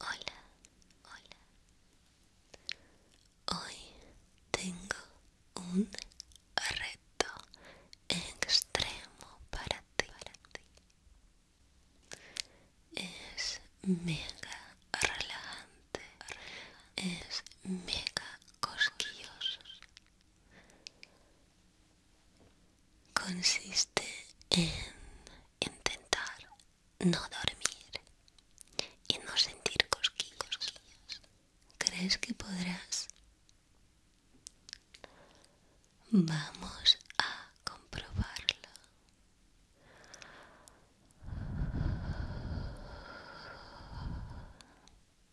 Hola, hola. Hoy tengo un reto extremo para ti. Es mega relajante, es mega cosquilloso consiste en intentar no dormir y no sentir cosquillas. ¿Crees que podrás? Vamos a comprobarlo.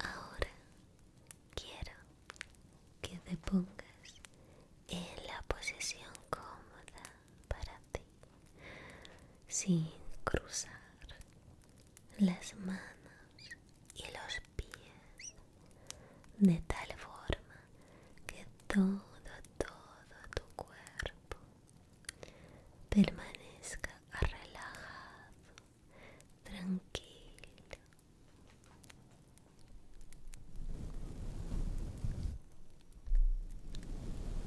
Ahora quiero que te pongas en la posición cómoda para ti, sin cruzar las manos y los pies de tal forma que todo, todo tu cuerpo permanezca relajado, tranquilo.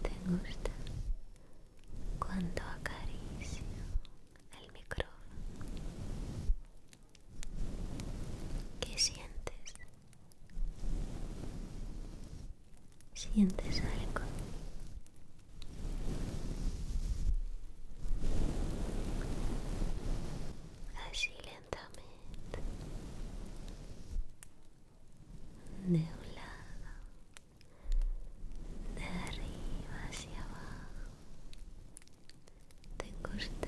¿Te gusta cuando acaricio el micrófono? ¿Qué sientes ¿Sientes algo? Así lentamente. De un lado. De arriba hacia abajo. ¿Te gusta?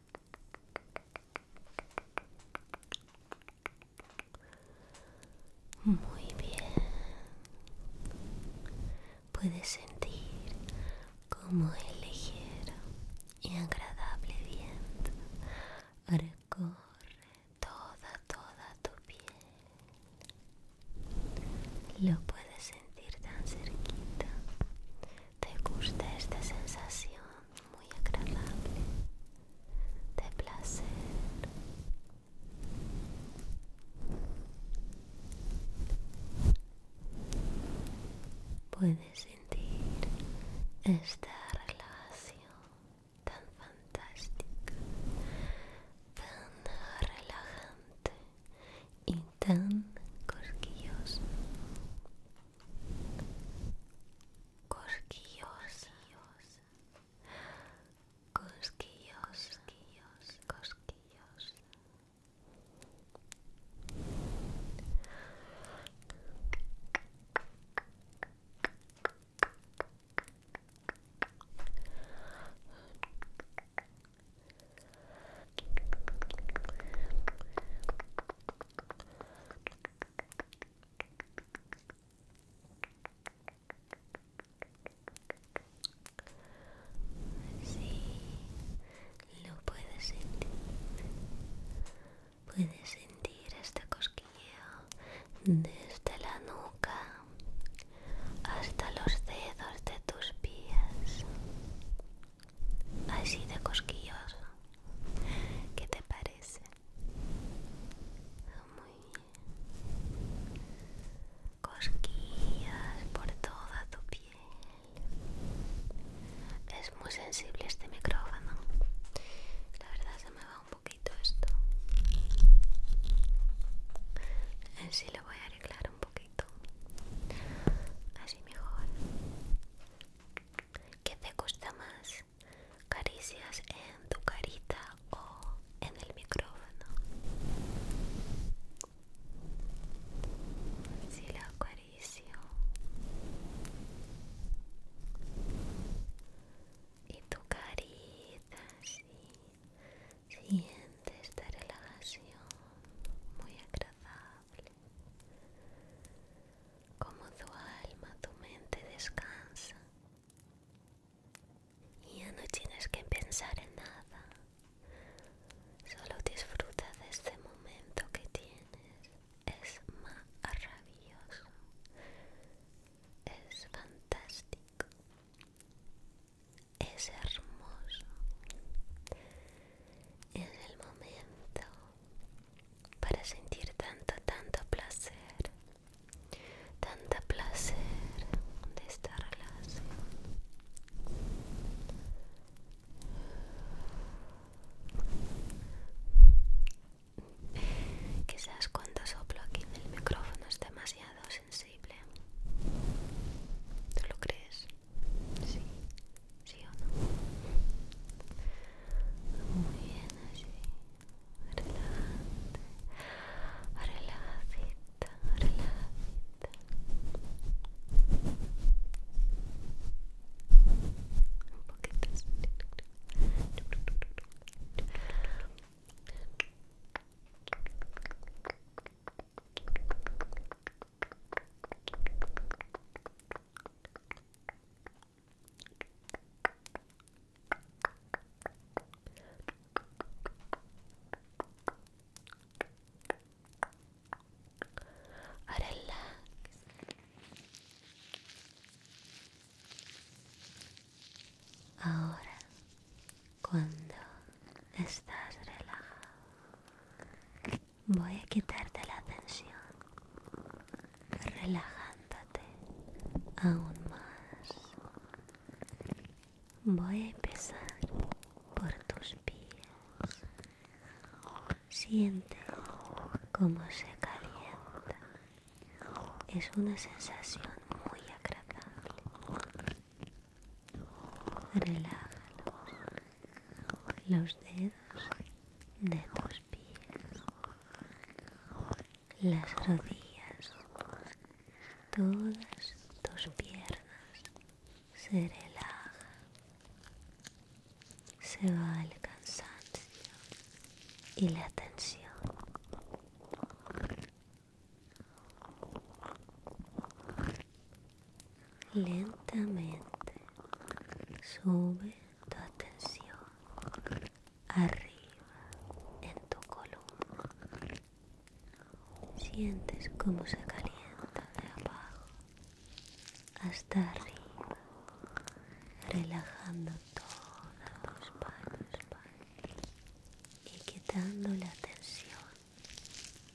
Muy bien. Puedes sentir como el ligero y agradable viento recorre toda, toda tu piel. Lo puedes sentir tan cerquita. ¿Te gusta esta sensación? muy agradable de placer puedes sentir esta relación tan fantástica tan relajante y tan cosquillosa cosquillos, cosquillos, cosquillos, cosquillos. Sí, lo puedes sentir. Puedes sentir este cosquilleo desde la nuca hasta los dedos de tus pies. Así de cosquilloso. ¿Qué te parece? Muy bien. Cosquillas por toda tu piel. Es muy sensible este micrófono. La verdad se me va un poquito esto. Así lo voy a arreglar un poquito. Así mejor. ¿Qué te gusta más? ¿Caricias en tu carita o en el micrófono? Si la acaricio. Y tu carita, sí. Siente esta relajación muy agradable como tu alma, tu mente descansa y ya no tienes que pensar en nada, solo disfruta de este momento que tienes, es maravilloso, es fantástico, es hermoso en el momento para sentir tanto, tanto placer, tanto placer de esta relación. Quizás cuando soplo aquí en el micrófono es demasiado sensible. ¿Tú lo crees? Sí. ¿Sí o no? Muy bien, así. Relajante. Relajadita, relajadita. Un poquito Ahora Ahora, cuando estás relajado, Voy a quitarte la tensión, relajándote aún más. Voy a empezar por tus pies. Siente como se calienta. Es una sensación muy agradable. relájalo Los dedos de tus pies, las rodillas, todas tus piernas se relajan, se va el cansancio y la tensión lentamente sube tu atención arriba en tu columna sientes como se calienta de abajo hasta arriba relajando todos tus palos y quitando la tensión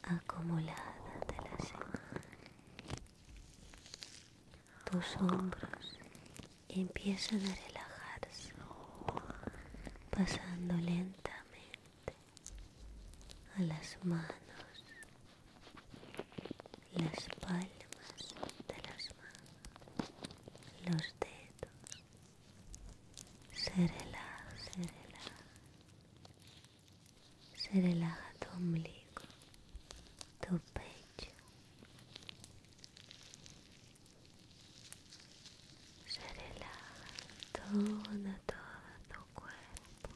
acumulada de la semana tus hombros empiezan a relajarse, pasando lentamente a las manos, las palmas de las manos, los dedos. Se relaja, se se relaja tu ombligo, tu pecho, se relaja todo, tu cuerpo,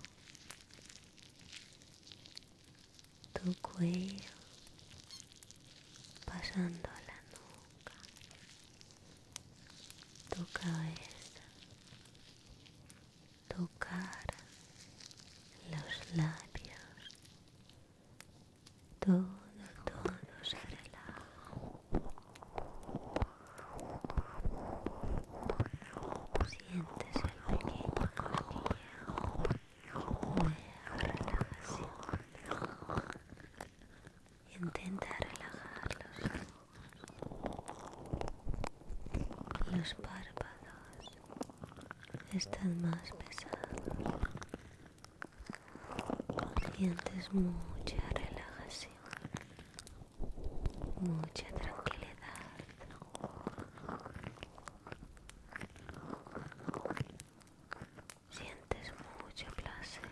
tu cuello, pasando a la nuca, tu cabeza tocar los labios, todo, todo se relaja. Sientes el pequeño cosquilleo de relajación. Intenta relajarlos los párpados están más pesados. Sientes mucha relajación, mucha tranquilidad. Sientes mucho placer.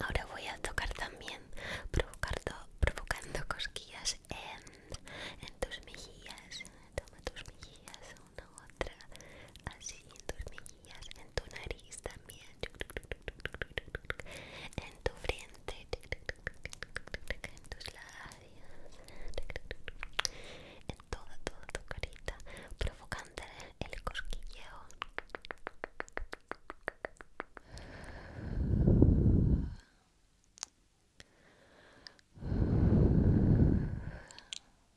Ahora voy a tocar también provocando, provocando cosquillas en, en tus mejillas. tus mejillas una otra así en tus mejillas en tu nariz también en tu frente en tus labios en toda toda tu carita provocándole el cosquilleo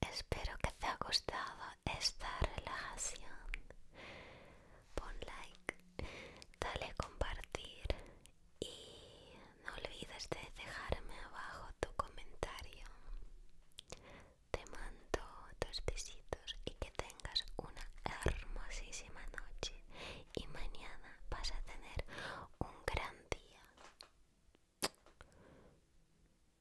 Espero que te ha gustado esta relajación. Pon like, dale compartir y no olvides de dejarme abajo tu comentario. Te mando tus besitos y que tengas una hermosísima noche y mañana vas a tener un gran día.